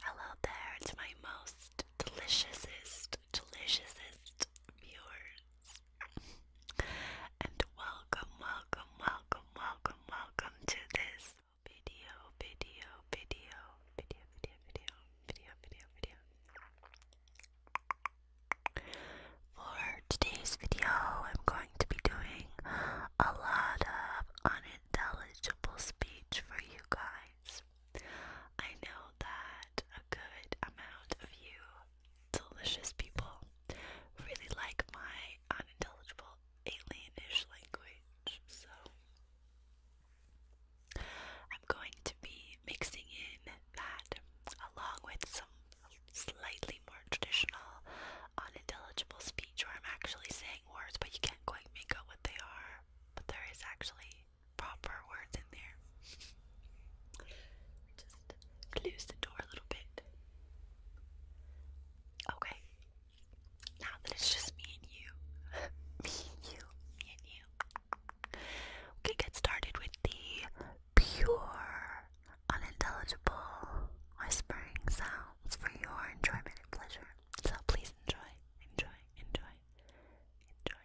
Hello there to my most deliciousest, deliciousest viewers. and welcome, welcome, welcome, welcome, welcome to this video, video, video, video, video, video, video, video, video. For today's video, I'm going to be doing a lot of unintelligible speech for you guys. I know that a good amount of you delicious people really like my unintelligible alienish language, so I'm going to be mixing in that along with some slightly more traditional, unintelligible speech where I'm actually saying words, but you can't quite make out what they are. But there is actually proper words in there. Just close the door a little bit. Okay, now that it's just me and you, me and you, me and you, we get started with the pure, unintelligible whispering sounds for your enjoyment and pleasure. So please enjoy, enjoy, enjoy, enjoy.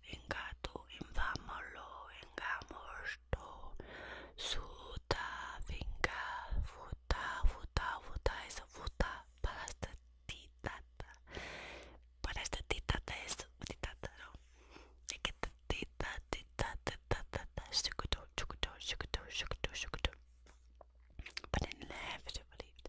engato, infamolo, engamosto, suta, vinga, futa, futa, futa, eso, futa, para esta titata. Para esta titata es titata, ¿no? Es que titata, titata, titata, sukuto, sukuto, sukuto, sukuto, sukuto. But I never believed.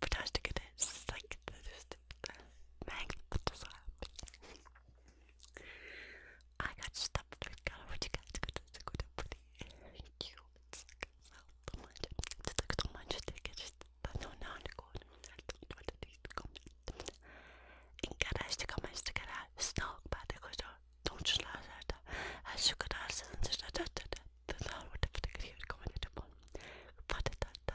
fantastic it is. Like, magnificent. I got stuffed with color, which you guys could it's good and pretty cute. It's like so much. It's like so much tickets. But no, no, no, no, no, Inkarástika mestikere, snakbátékos a tuncslázáta, elsőkör álszázan, és a tettet, de náló teptek, hogy komolyan van. Fadetatta,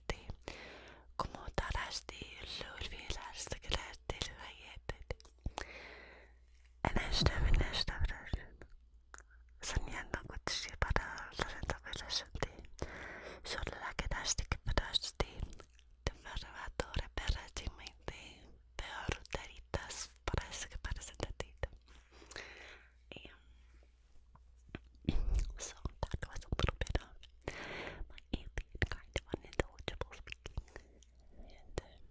التي como درجتي الأولى لاستقلالتي لحياتي أنا أجنبي أنا أجنبي سميانا قلت شي برا لرنتقي لشدي شغل لكن عشتك بدرجتي تمرة دورة برا جميلتي peor daritas para ese que parece tatita y so that was a little bit of my alien kind of unintelligible speaking. And um,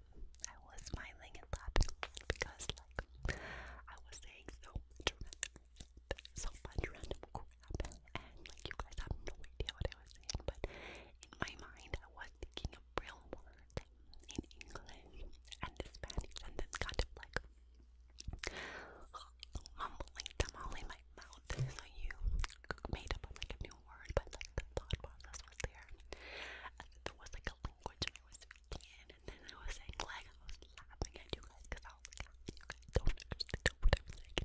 I was smiling and laughing because like I was saying so much so much random crap and like you guys have no idea what I was saying, but in my mind I was thinking real words in English and Spanish and then kind of like mumbling them all in my mouth. So you made up like a new word, but like the thought process was there. And was like a language I was speaking and then I was saying like I was laughing at you guys because I was like, you guys don't understand what I'm saying.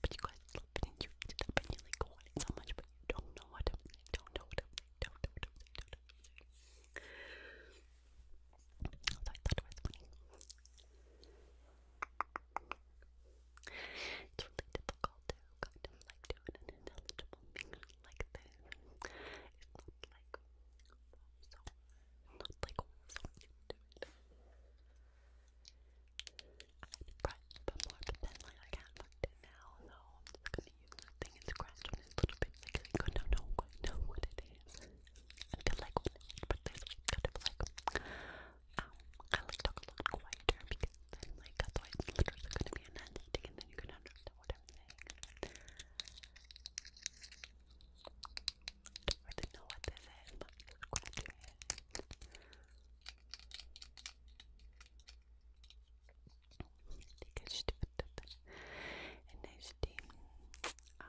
but you guys love it and you eat you like want it so much, but you Don't know what I'm saying. Don't know what I'm saying. Don't know what I'm saying. So I thought it was funny. It's really difficult to like do an ineligible thing like this. It's like so, like so you but more, but I can't find it now, so I'm just gonna use this thing and scratch on it a little bit because I don't know what it is. I feel like but this kind of like um I like talk a lot quieter because like otherwise it's literally gonna be announcing and then you can understand what I'm not know what this is, but I'm just gonna do it. Because stupid. And I uh,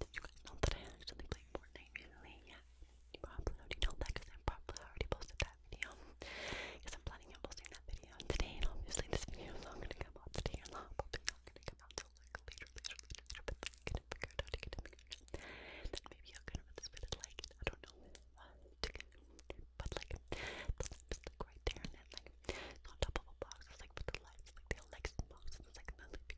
did you guys know that I actually played Fortnite recently? Yeah, you probably already know that because I probably already posted that video. Because I'm planning on posting that video today, and obviously this video is not going to come out today or not, probably not going to come out till like later, I couldn't out to this bit like, I don't know, uh, but like, the lamp is right there, and then like, on top of a box, it's like with the lights, like the Alexa box, and it's like the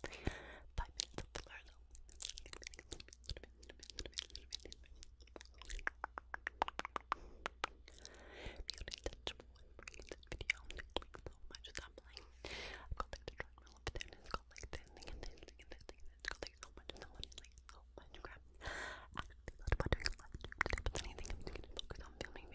for five minutes of blur If you did this video, click so much stop playing. I've got like the treadmill up there and it's got like this thing this thing and this thing and it's got like like so much crap. Actually, that's about doing a live stream today, but anything I'm to focus on filming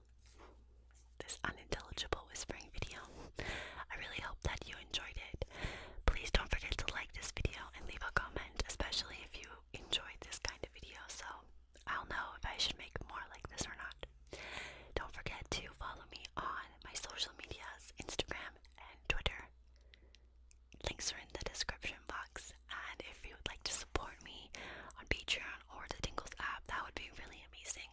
this unintelligible whispering video. I really hope that you enjoyed it. Please don't forget to like this video and leave a comment, especially if you enjoyed this kind of video, so I'll know if I should make more like this or not. Don't forget to follow me on my social medias, Instagram and Twitter. Links are in the description box. And if you would like to support me on Patreon or the Tingles app, that would be really amazing.